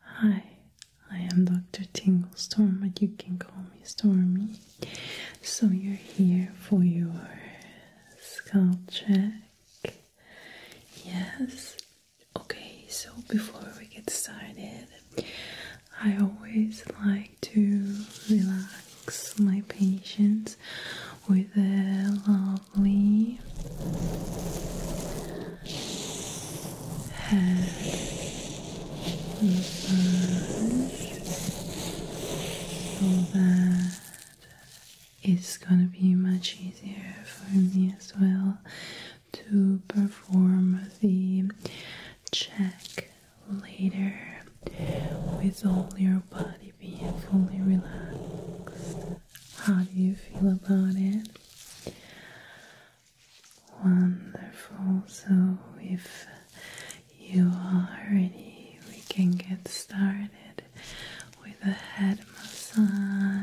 Hi, I am Dr. Tingle but you can call me Stormy. So, you're here for your scalp check. Yes. Okay, so before we get started, I always like to relax my patients with a lovely head massage so that it's gonna be much easier for me as well to perform the check later with all your body being fully relaxed. How do you feel about it? Wonderful. So, if you are ready, we can get started with a head massage.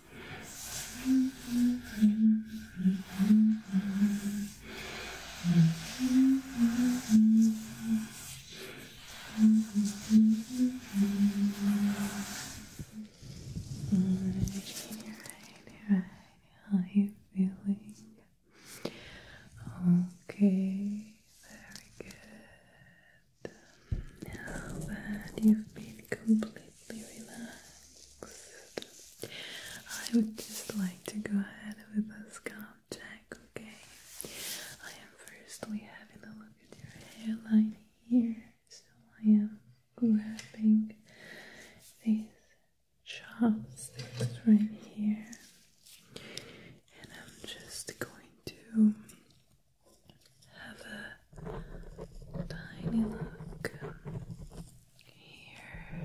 are you feeling? Okay, very good. Now that you've been completely I would just like to go ahead with a scalp check, okay? I am firstly having a look at your hairline here, so I am grabbing these chopsticks right here, and I'm just going to have a tiny look here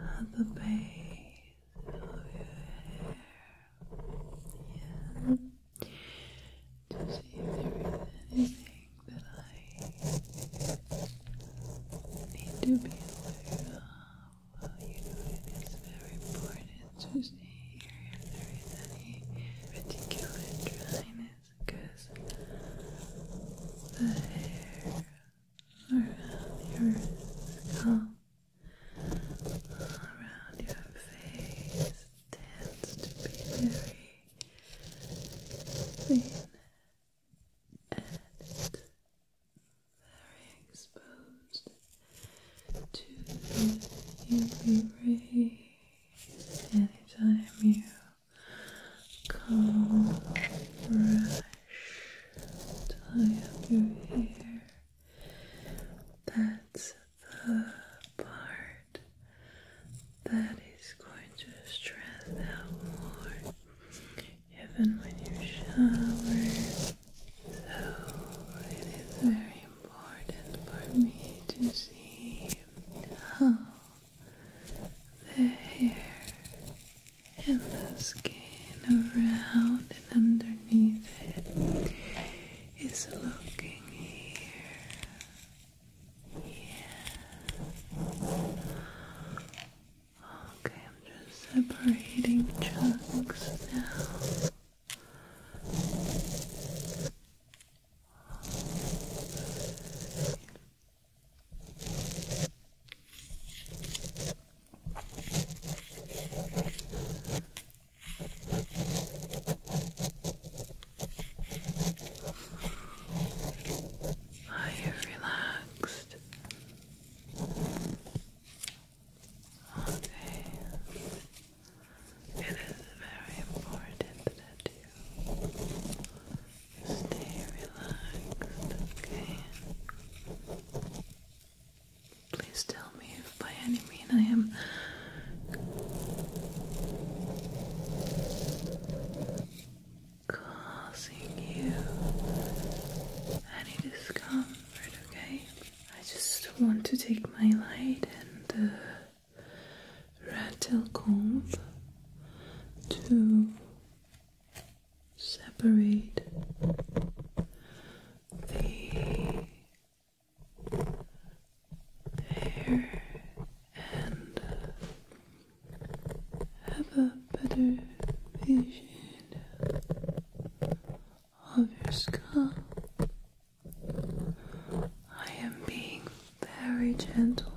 at the base of your hair. To see if there is anything that I need to be aware of. Well, you know, it is very important to see if there is any particular dryness because the hair around your skull, around your face, tends to be very thin and very exposed to UV rays anytime you Come, brush tie up your hair that's the part that is going to stress out more even when you shower so it is very important for me to see the hair and the skin around and underneath it is looking here. Yeah. Okay, I'm just separating chunks now. Are you relaxed? Okay. It is very important that you Stay relaxed, okay? Please tell me if by any means I am causing you any discomfort, okay? I just want to take my light and uh, rattle comb to separate the hair and have a better vision of your scalp. I am being very gentle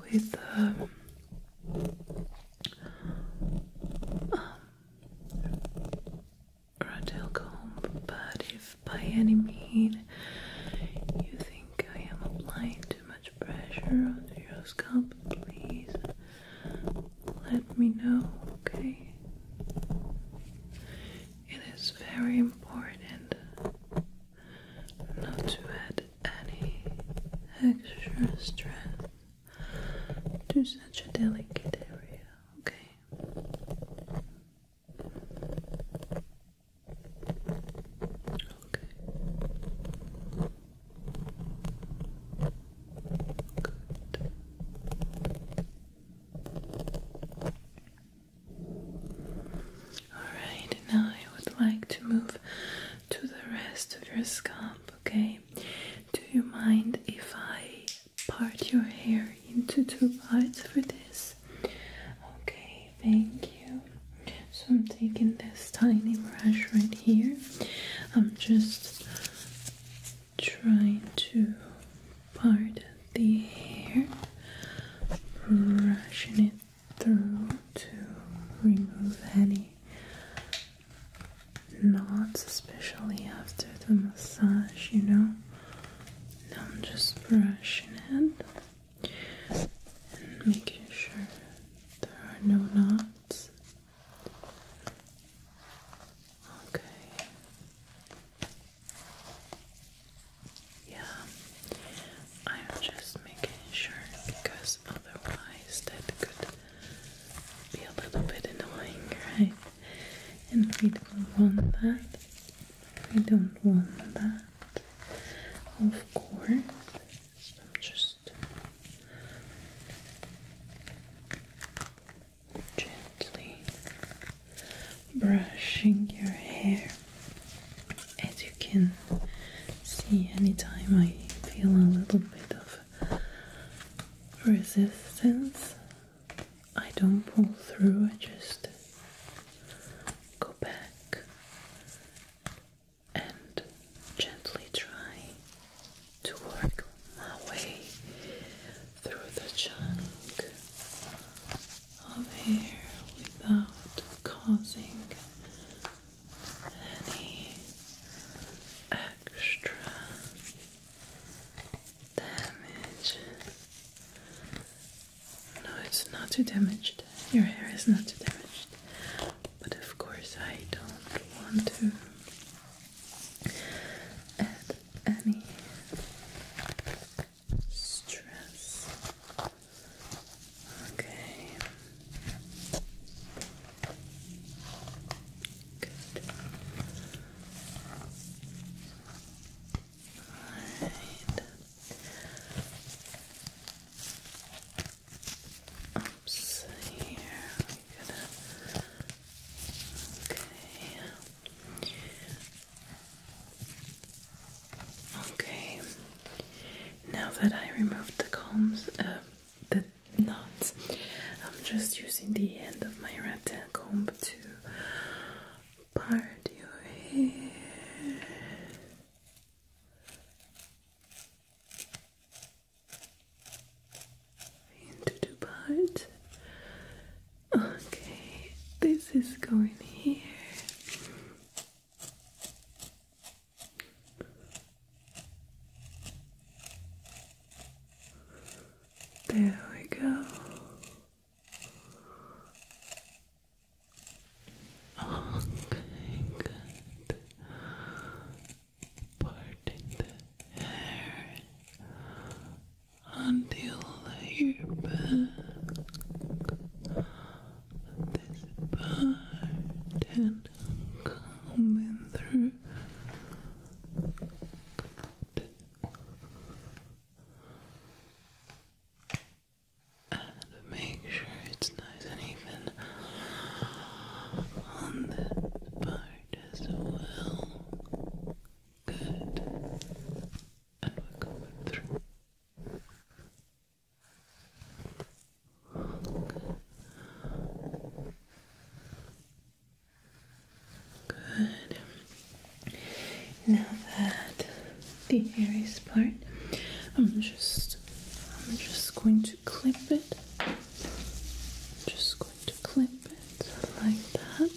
with um, um, comb, but if by any means you think I am applying too much pressure on your scalp, please let me know, okay? It is very important not to add any extra stress to such a delicate area, okay? Okay. Good. Alright, now I would like to move to the rest of your scalp, okay? Do you mind if I part your hair into two parts for this? Okay, thank you. So I'm taking this tiny brush right here. I'm just trying to part the hair, brushing it through to remove any knots, especially after the massage, you know. Now I'm just brushing it and making sure there are no knots. Okay. Yeah, I'm just making sure because otherwise that could be a little bit annoying, right? And we don't want that. We don't want that, of course. So just gently brushing your hair as you can see anytime I feel a little bit of resistance I don't pull through I just go back and gently try to work my way through the chunk of hair without causing any extra damage. No, it's not too damaged. Your hair is not too damaged. But of course, I don't want to add any stress. Okay. Good. Right. Oops, here Okay. Okay, now that I removed the combs, uh, the knots, I'm just using the end of my rattan comb to part your hair. Into two parts. Okay, this is going here. There we go. Okay, oh, good. Parting hair until your back this part and coming through. Good. And make sure it's nice and even on that part as well. Good. coming through. Good. Now that the hairiest part, I'm just I'm just going to clip it. Just going to clip it like that.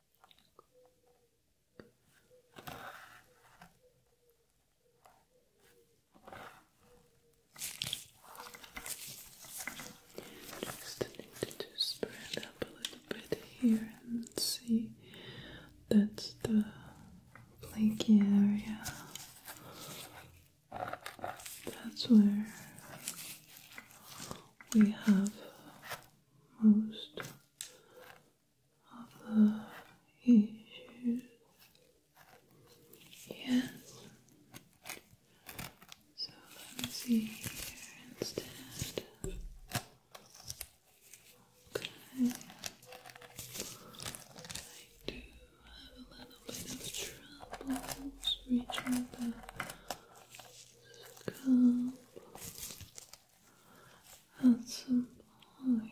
Just need to spread up a little bit here and see that's the flaky area. That's where we have most of the issues. Yes. So let me see here instead. I do have a little bit of troubles reaching the couple at some point.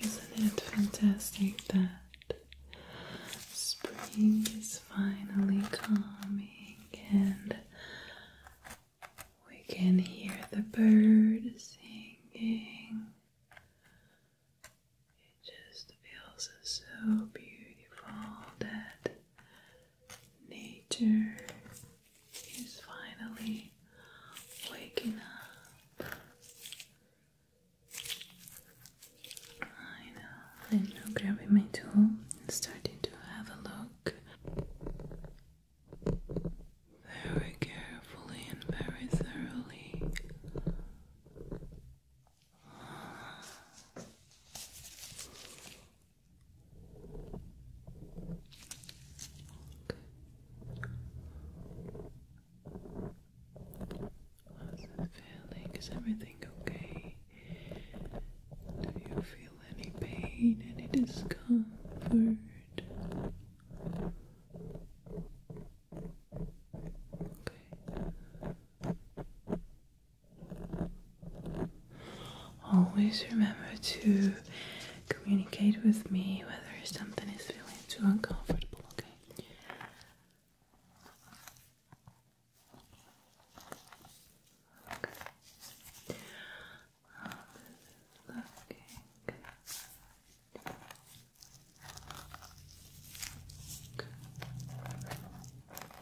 Isn't it fantastic that spring is finally coming and we can hear the birds singing? It just feels so beautiful that Nature is finally waking up. I know. I'm grabbing my tool and starting to have a look very carefully and very thoroughly How's it feeling? Is everything okay? Do you feel any pain, any discomfort? Okay. Always remember to communicate with me whether something is feeling too uncomfortable, okay?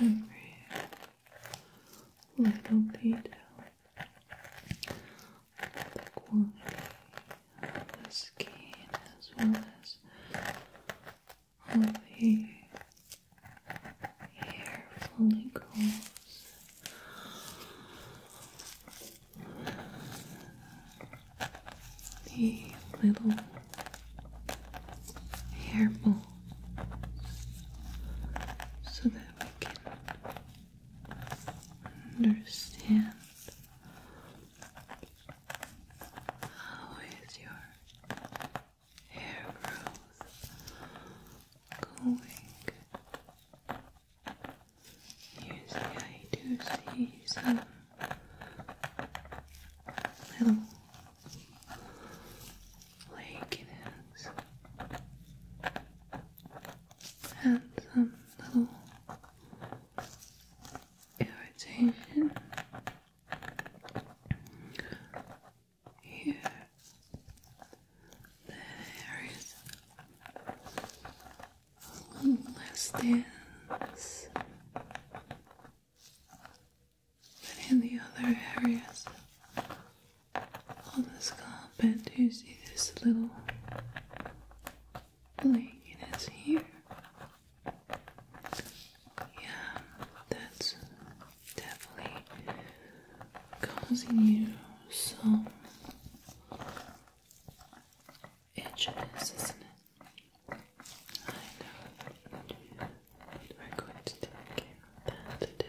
every little detail the quality of the skin as well as the hair follicles the little hair balls so that we can understand how is your hair growth going. Usually I do see some like it is. some little irritation here. There is a little less dance than in the other areas on this do You see this little flakiness here. Yeah, that's definitely causing you some itchiness, isn't it? And we're going to take care that today.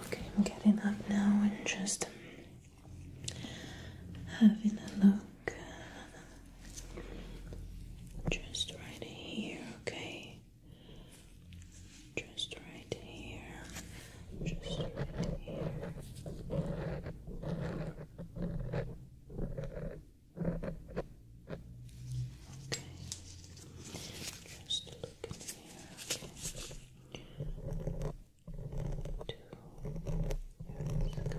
Okay, I'm getting up now and just having a look just right here, okay just right here, just right here. Okay, just look in here. Okay. Two. Very good.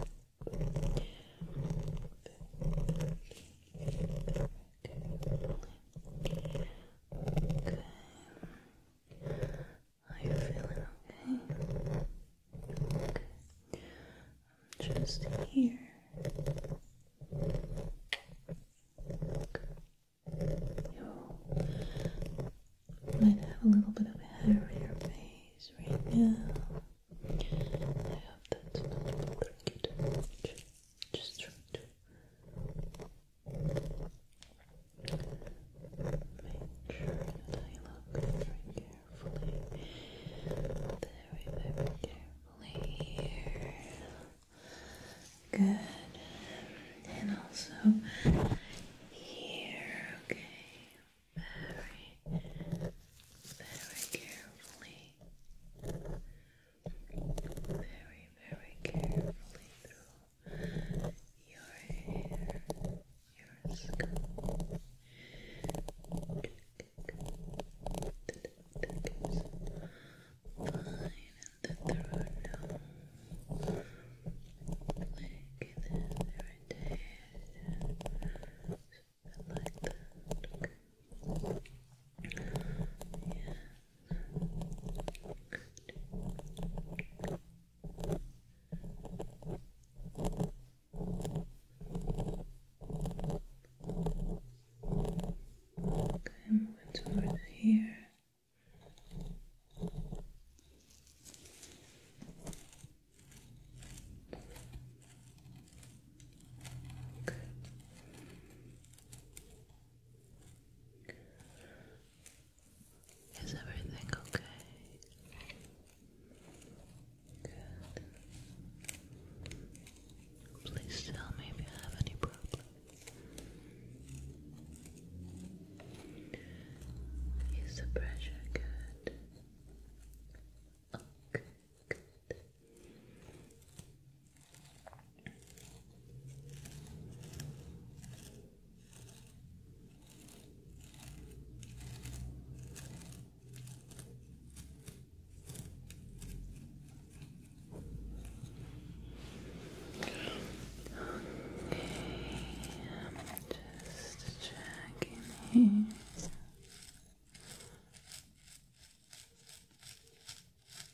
Very Okay. Are you feeling okay? I'm just here. You might have a little bit of hair in your face right now. I hope that's not bothering you Just try to Make sure that I look very carefully, very, carefully here. Good. And also here, okay. Very, very carefully very, very carefully through your hair, your scalp. Fine in the throat now. Like this irritation. Something like that. Yeah. Good. Okay, moving towards here. Okay. Is everything okay? Please tell me if you have any problems. Is the pressure good? Okay, oh, good just checking here.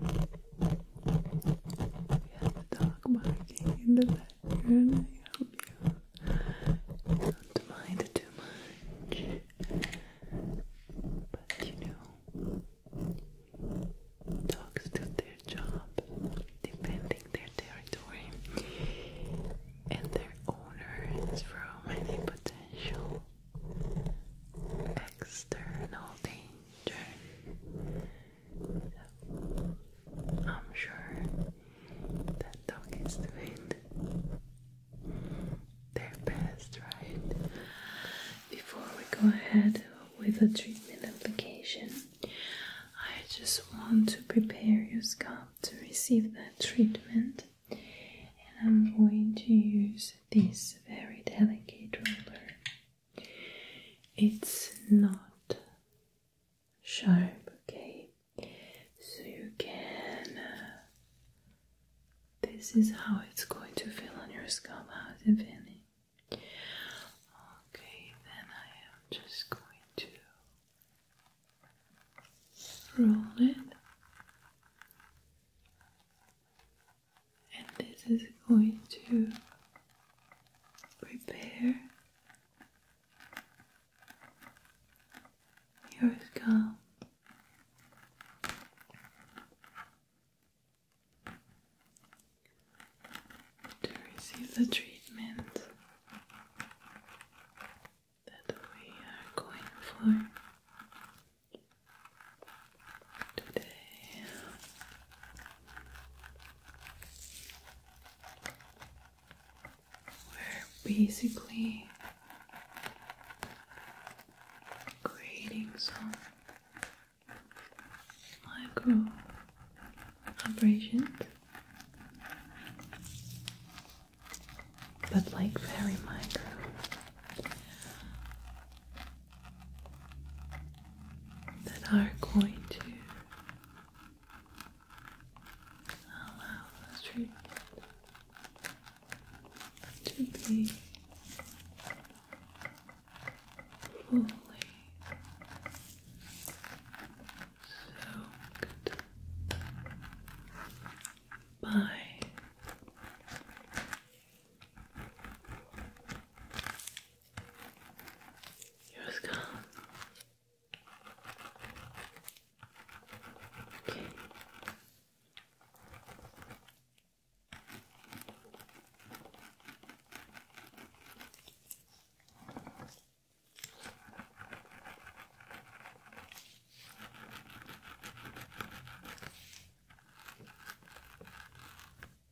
We have a dog barking in the background. don't mind too much. But you know, dogs do their job defending their territory and their owners from any potential external danger turn. I'm sure that dog is doing their best, right? Before we go ahead with the treatment application, I just want to prepare your scalp to receive that treatment, and I'm going to use this very delicate roller it's not sharp, okay? So you can. Uh, this is how it's going to feel on your scalp. How's it feeling? Okay, then I am just going to roll it and this is going to prepare your scalp. To receive the treatment that we are going for today. We're basically creating some micro vibrations, but like very micro that are going to allow the to be fully soaked by your skull. Okay. Okay.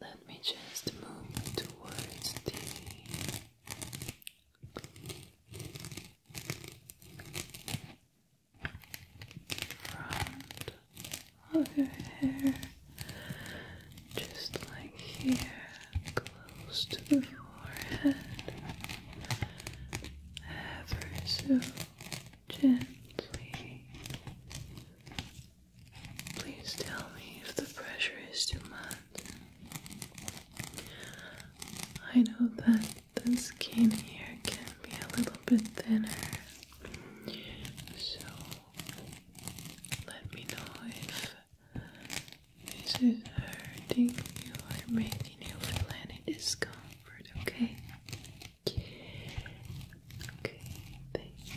Let me just move towards the front of your hair, just like here, close to the forehead, ever so gently. Please tell me if the pressure is too much. I know that the skin here can be a little bit thinner. So let me know if this is hurting you or making you feel discomfort, okay? Okay, thank you.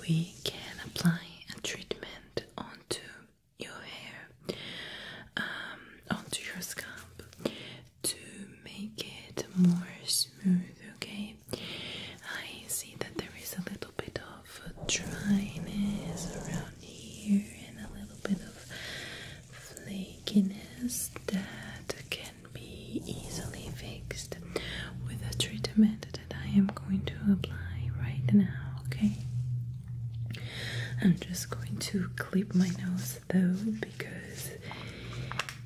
We can apply a treatment onto your hair, um, onto your scalp to make it more smooth. Okay, I see that there is a little bit of dryness around here and a little bit of flakiness that can be easily fixed with a treatment that I am going to apply right now, okay? I'm just going to clip my nose though because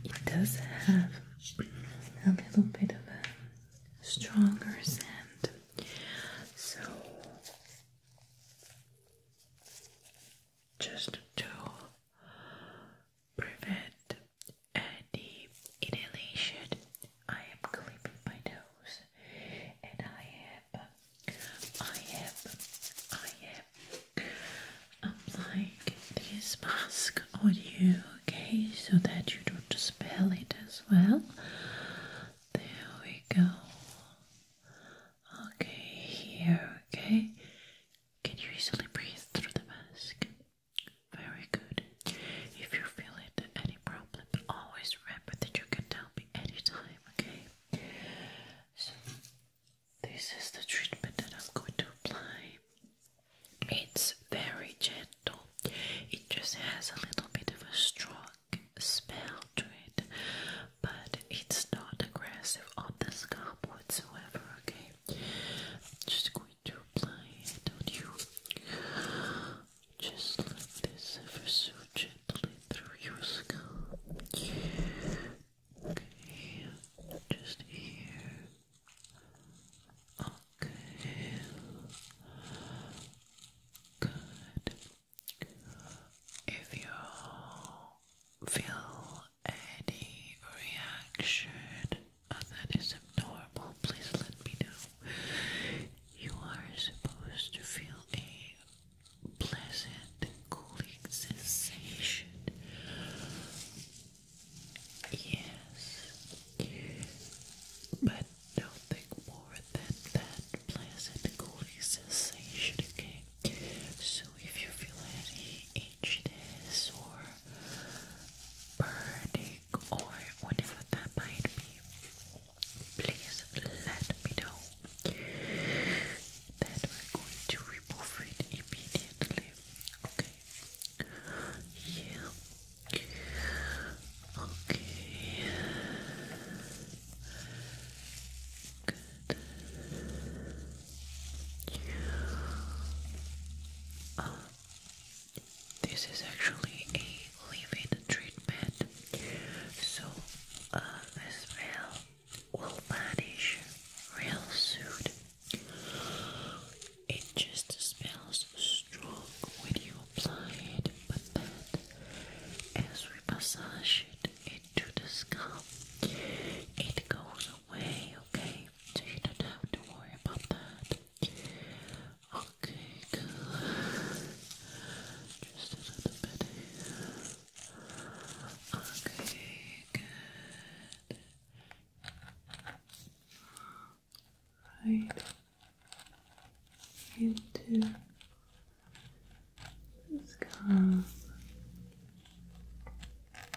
it does have a little bit of a stronger scent. So just to prevent any inhalation. I am cleaning my nose and I am I am I am applying this mask on you okay so that you don't smell it as well. There we go. Okay, here, okay. Can you easily breathe through the mask? Very good. If you feel it, any problem, always remember that you can tell me anytime, okay? So, this is the treatment that I'm going to apply. It's very gentle, it just has a little bit of a strong smell to it, but it's not aggressive on the scalp whatsoever, okay? just going to apply it on you. Just like this, ever so gently through your skull. Okay, just here. Okay. Good. If you feel any reaction that is abnormal, please let me know. You are supposed to feel a pleasant cooling sensation. Yes, but nothing more than that pleasant cooling sensation, okay? So if you feel any itchiness or burning or whatever that might be, please let me know. That we're going to remove it immediately. Okay. Yeah. Okay. Good. Um, this is actually a leave treatment, so uh, the smell will vanish real soon. It just smells strong when you apply it, but as we massage it into the scalp, it goes away, okay? So you don't have to worry about that. Okay, good. Just a little bit Okay, good. Right into this scalp.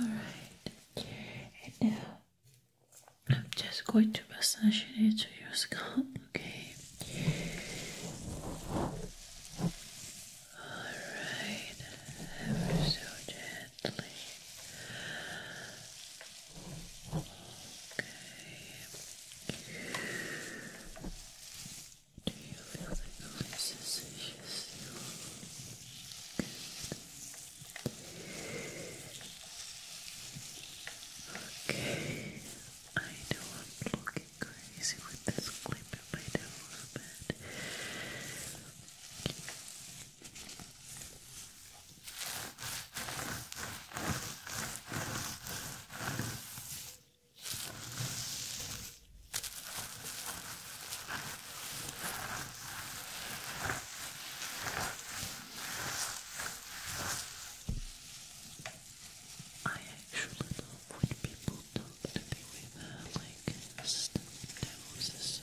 All right, and now uh, I'm just going to massage it into your scalp, okay? Alright, ever so gently. Okay. Do you feel the really sensations? Okay. I know I'm looking crazy with this clip in my nose, but I actually love when people talk to me with uh, like stuffed noses.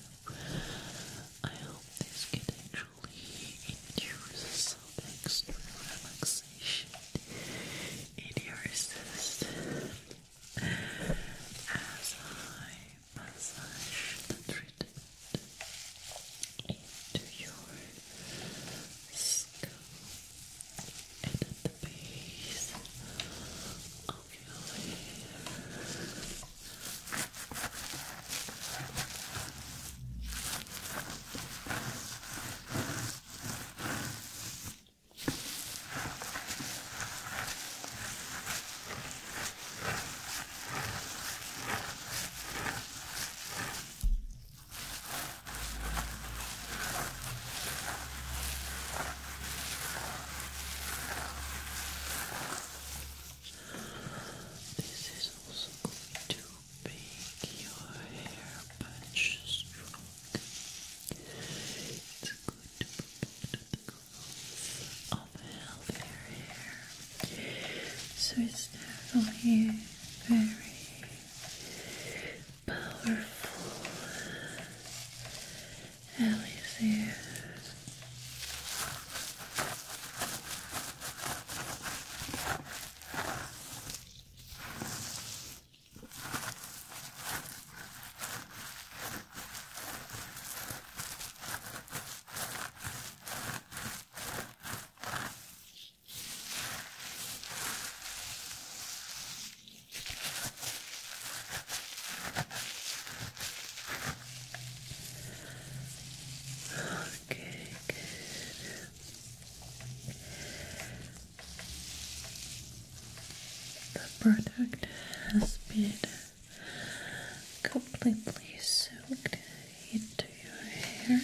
I hope this can actually induce some extra relaxation in your system as I massage the treatment into your skin and at the base of your hair. Okay. This is also going to make your hair patch strong. It's good to promote the growth of healthier hair. So it's definitely very powerful Elixir. Okay, The product has been completely soaked into your hair.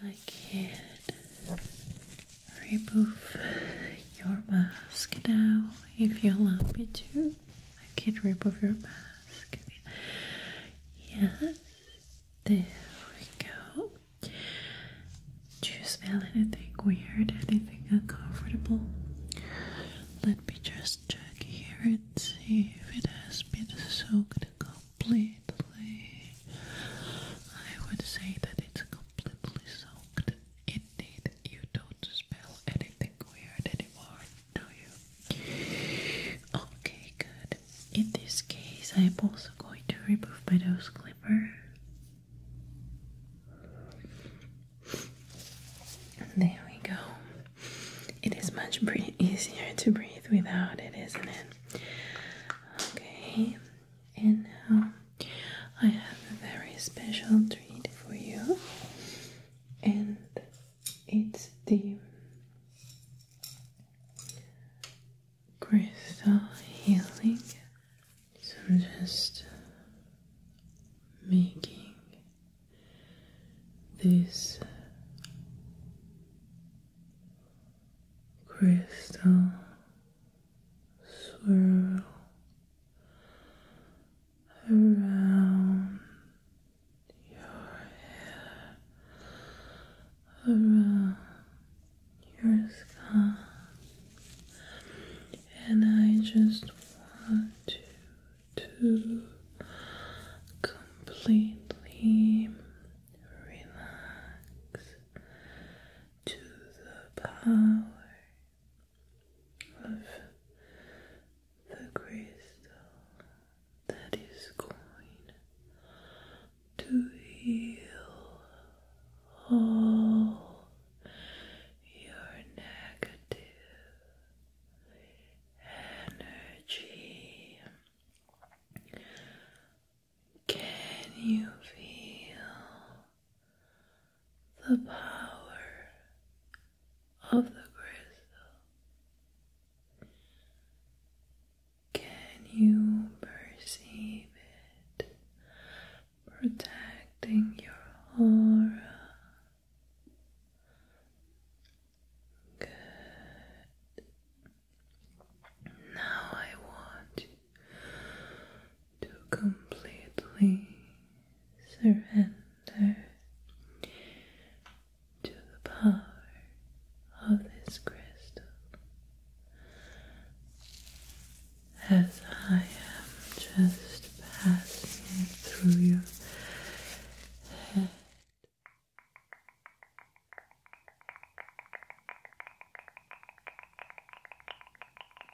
I can't remove your mask now if you allow me to. I can remove your mask. Yes, there we go. Do you smell anything weird? Anything uncomfortable? Let me just check here and see if it has been soaked completely. I would say that it's completely soaked Indeed, you don't smell anything weird anymore, do you? Okay, good. In this case, I am also going to remove my nose clipper. There we go. It is much easier to breathe without it, isn't it? Okay, and I have a very special treat for you, and it's the crystal healing. So I'm just making this crystal swirl around your hair, around your scalp, and I just want you to completely relax to the power of the crystal that is going to heal all your negative energy. Can you feel the power of the crystal? Can you perceive it protecting your aura? Good. Now I want to completely surrender to the power of this crystal as I am just passing through your head.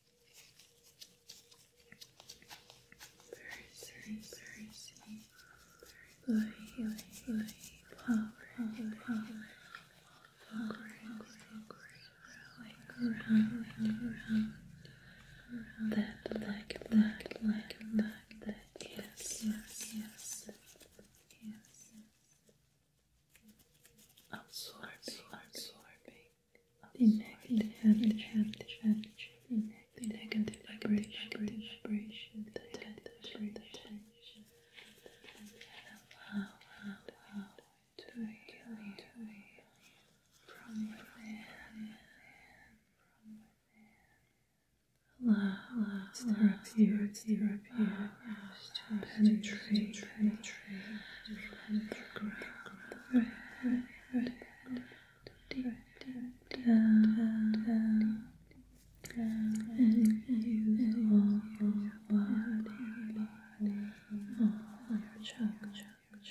very, very, very, very, very, power, power, power, around, around, that, like, like, like, like, that, yes, yes, yes, yes, absorbing, absorbing, the negative energy, negative energy, the negative vibration, vibration, the tension, the tension, and allow, allow to heal you from within, from within. Allow, allow, it's therapy, it's therapy, allow just penetrate, penetrate, deep, deep down, and use all body, all your chakras, all this.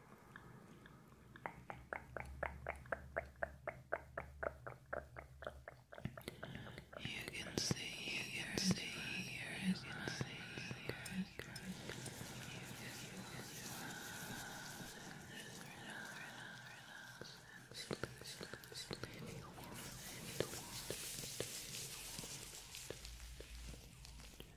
You can see, you can see, you can see, you can see, you can Relax, relax, relax, relax, relax, relax, relax, relax, relax, relax,